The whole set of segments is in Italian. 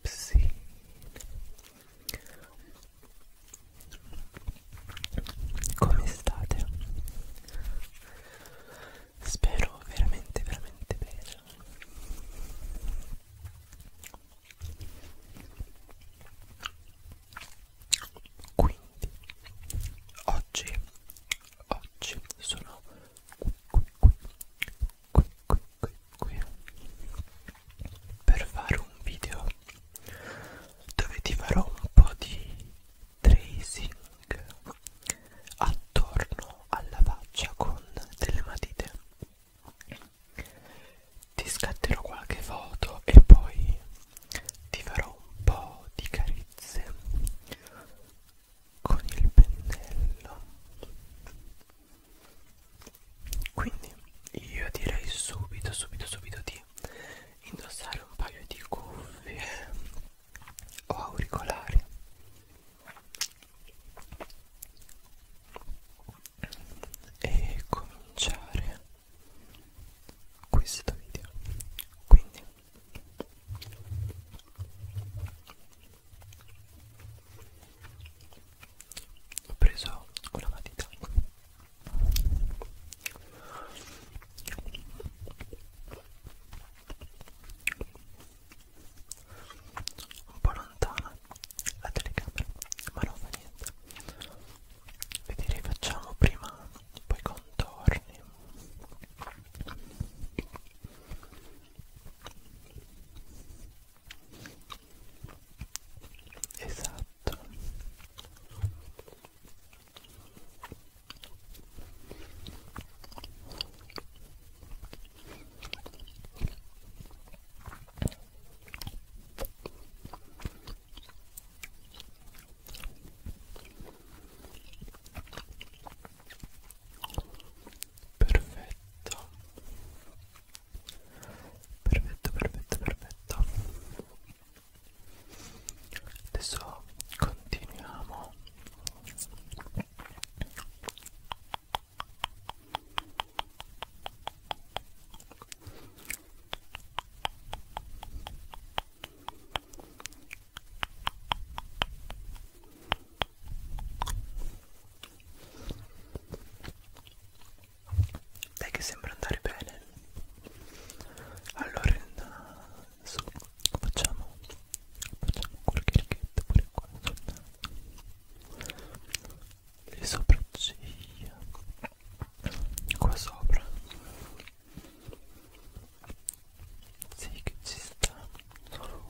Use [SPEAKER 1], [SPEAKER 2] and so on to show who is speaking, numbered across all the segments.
[SPEAKER 1] Pepsi come state? Spero veramente veramente bene quindi oggi oggi sono qui qui qui qui qui qui qui per fare un video dove ti farò un po' di tracing attorno alla faccia con delle matite ti scatterò qualche foto e poi ti farò un po' di carezze con il pennello quindi io direi subito subito subito di indossare un paio di cuffie o auricolari e cominciare questo video quindi ho preso una matita un po' lontana la telecamera ma non fa niente vedere facciamo prima poi contorni esatto perfetto perfetto perfetto perfetto adesso continuiamo dai che sembra andare bene Allora adesso facciamo Facciamo qualche righetta pure qua Le sopracciglia Qua sopra Sì che ci sta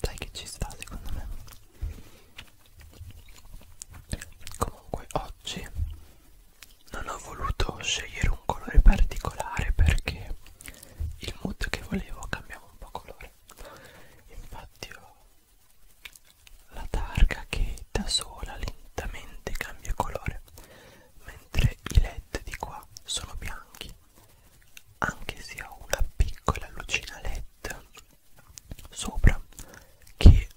[SPEAKER 1] Dai che ci sta secondo me. Comunque oggi non ho voluto scegliere un colore particolare perché il mood che volevo cambiava un po' colore. Infatti ho la targa che da sola lentamente cambia colore, mentre i led di qua sono bianchi. Anche se ho una piccola lucina led sopra che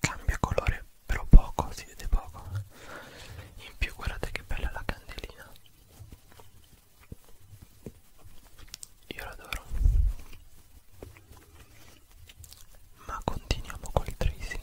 [SPEAKER 1] cambia colore, però poco, si vede poco. In più guardate che bella la candelina. Io l'adoro. Ma continuiamo col tracing.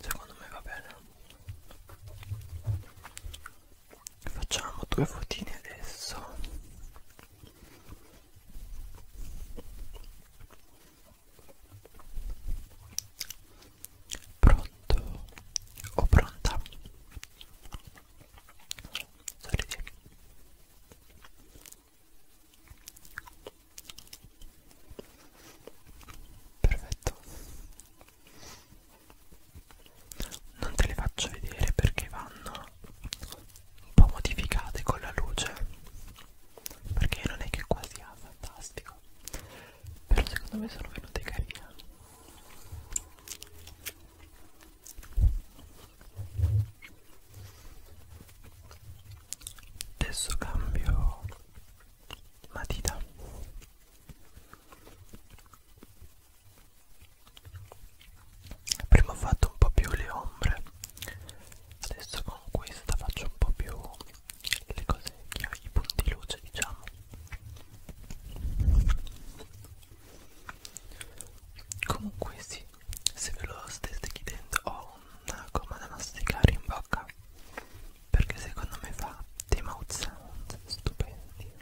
[SPEAKER 1] secondo me va bene facciamo due fotine adesso pronto o pronta saliti perfetto non te le faccio vedere perché vanno un po' modificate con la luce perché non è che qua sia ah, fantastico però secondo me sono venute carine adesso cambio matita prima ho fatto un po' più le ombre adesso con questa faccio un po' più le cose i punti luce diciamo comunque sì se ve lo steste chiedendo ho una ah, gomma da masticare in bocca perché secondo me fa dei mouth sound stupendi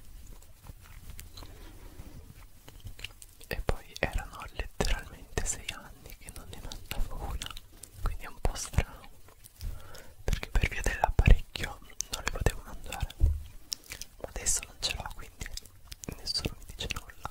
[SPEAKER 1] e poi erano letteralmente 6 anni che non ne mandavo una quindi è un po' strano perché per via dell'apparecchio non le potevo mangiare ma adesso non ce l'ho quindi nessuno mi dice nulla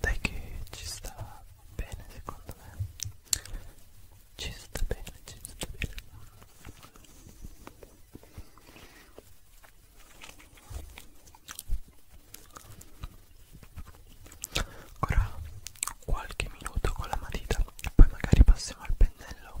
[SPEAKER 1] dai che ci sta bene secondo me ci sta bene ci sta bene Ora qualche minuto con la matita, poi magari passiamo al pennello.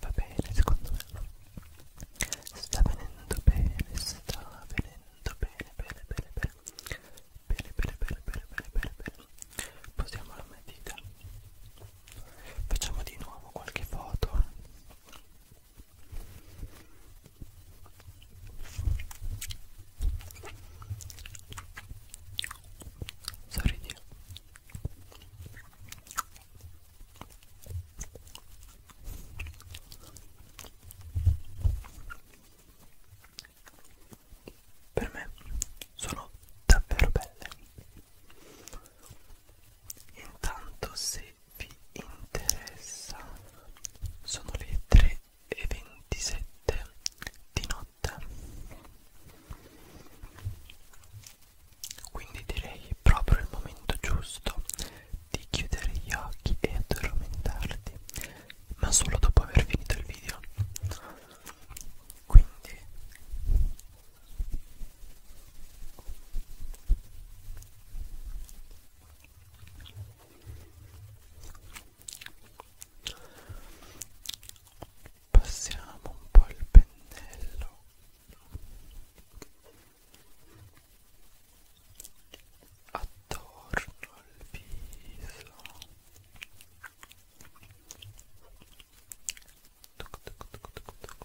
[SPEAKER 1] Va bene, secondo me sta venendo bene, sta venendo bene, bene, bene, bene, bene, bene, bene, bene, bene, bene, bene. Posiamo la matita. Facciamo di nuovo qualche foto Sorridi. Per me sono davvero belle. Intanto se se vi interessa sono le 3 e 27 di notte quindi direi proprio il momento giusto di chiudere gli occhi e addormentarti ma solo dopo aver finito il video quindi Passiamo un po' il pennello. Attorno al viso. Tuc, tuc, tuc, tuc, tuc.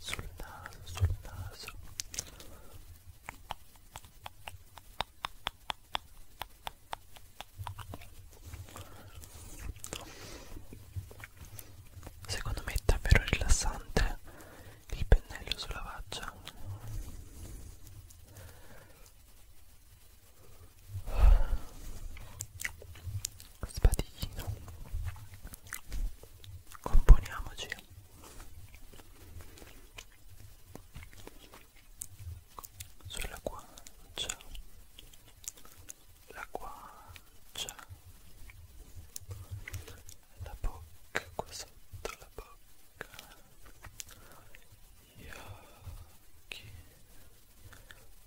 [SPEAKER 1] sul naso, sul naso Secondo me è davvero rilassante il pennello sulla faccia Spadino. Componiamoci. Sulla guancia. La guancia. La bocca qua sotto la bocca gli occhi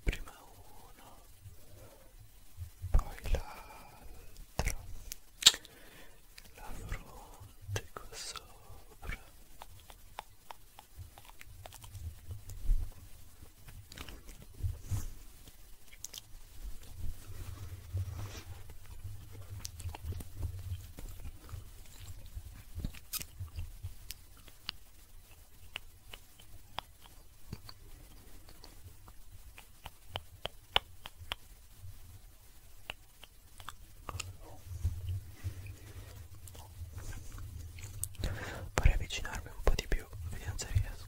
[SPEAKER 1] prima uno poi l'altro la fronte qua sopra Vorrei avvicinarmi un po' di più, vediamo se riesco.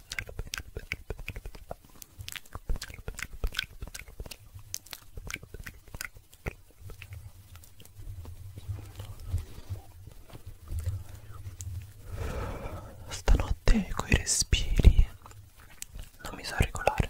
[SPEAKER 1] pennello, pennello, pennello, pennello, pennello, pennello. Stanotte coi respiri non mi so regolare.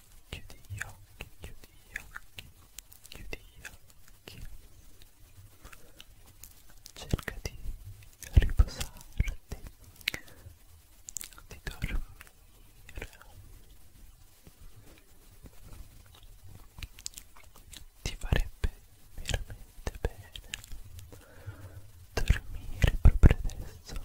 [SPEAKER 1] chiudi gli occhi, chiudi gli occhi, chiudi gli occhi. Cerca di riposarti, di dormire. Ti farebbe veramente bene dormire proprio adesso.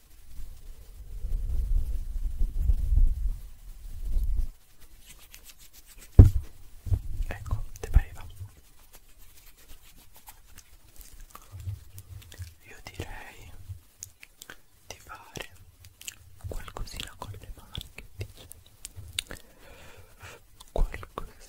[SPEAKER 1] Ecco, ti pareva? Io direi di fare qualcosina con le mani che dice qualcosina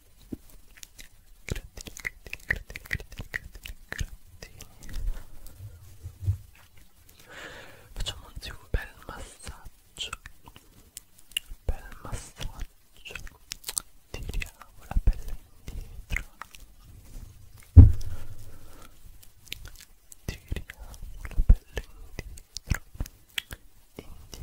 [SPEAKER 1] Grattini, grattini, grattini, grattini, grattini. Facciamo anzi un bel massaggio. Un bel massaggio. Tiriamo la pelle indietro. Tiriamo la pelle indietro. Indietro,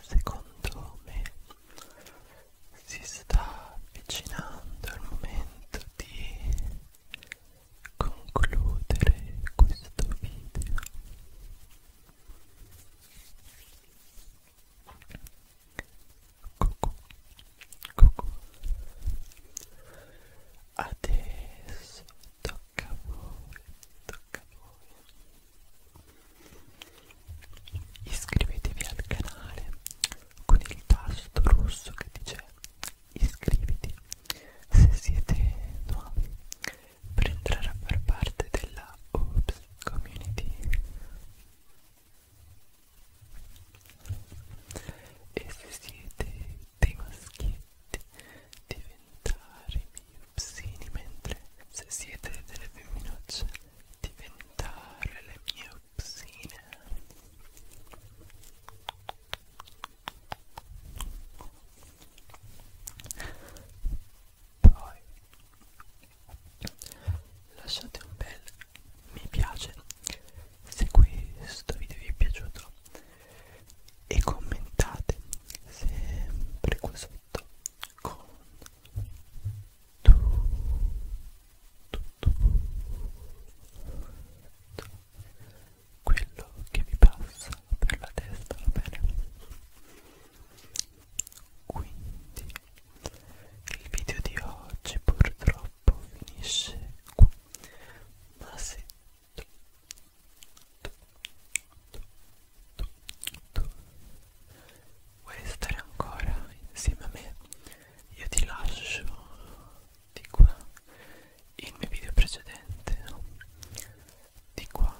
[SPEAKER 1] secondo me si sta avvicinando il momento di concludere questo video Cucù. Cucù. Adesso tocca a voi, tocca H poi iscrivetevi al canale con il tasto rosso che dice iscriviti se siete nuovi per entrare a far parte della Oops Community e se siete dei maschietti diventare miei psini mentre se siete delle femminucce diventare le mie psine poi lasciate un bel mi piace se questo video vi è piaciuto e commentate sempre qua sotto con tu, tu, tu, tu, quello che vi passa per la testa, va bene? Quindi il video di oggi purtroppo finisce qui, ma se Vuoi stare ancora insieme a me? Io ti lascio di qua il mio video precedente, no? di qua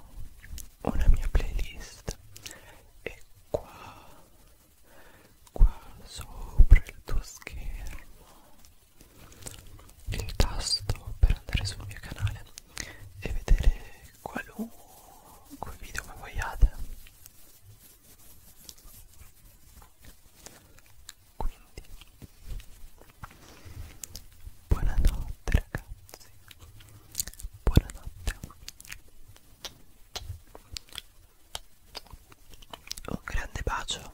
[SPEAKER 1] una mia playlist e qua qua sopra il tuo schermo il tasto per andare sul mio canale e vedere qualunque video che vogliate quindi buonanotte ragazzi buonanotte un grande bacio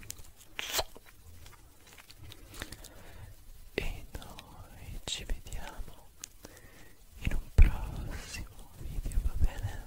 [SPEAKER 1] e noi ci vediamo in un prossimo video va bene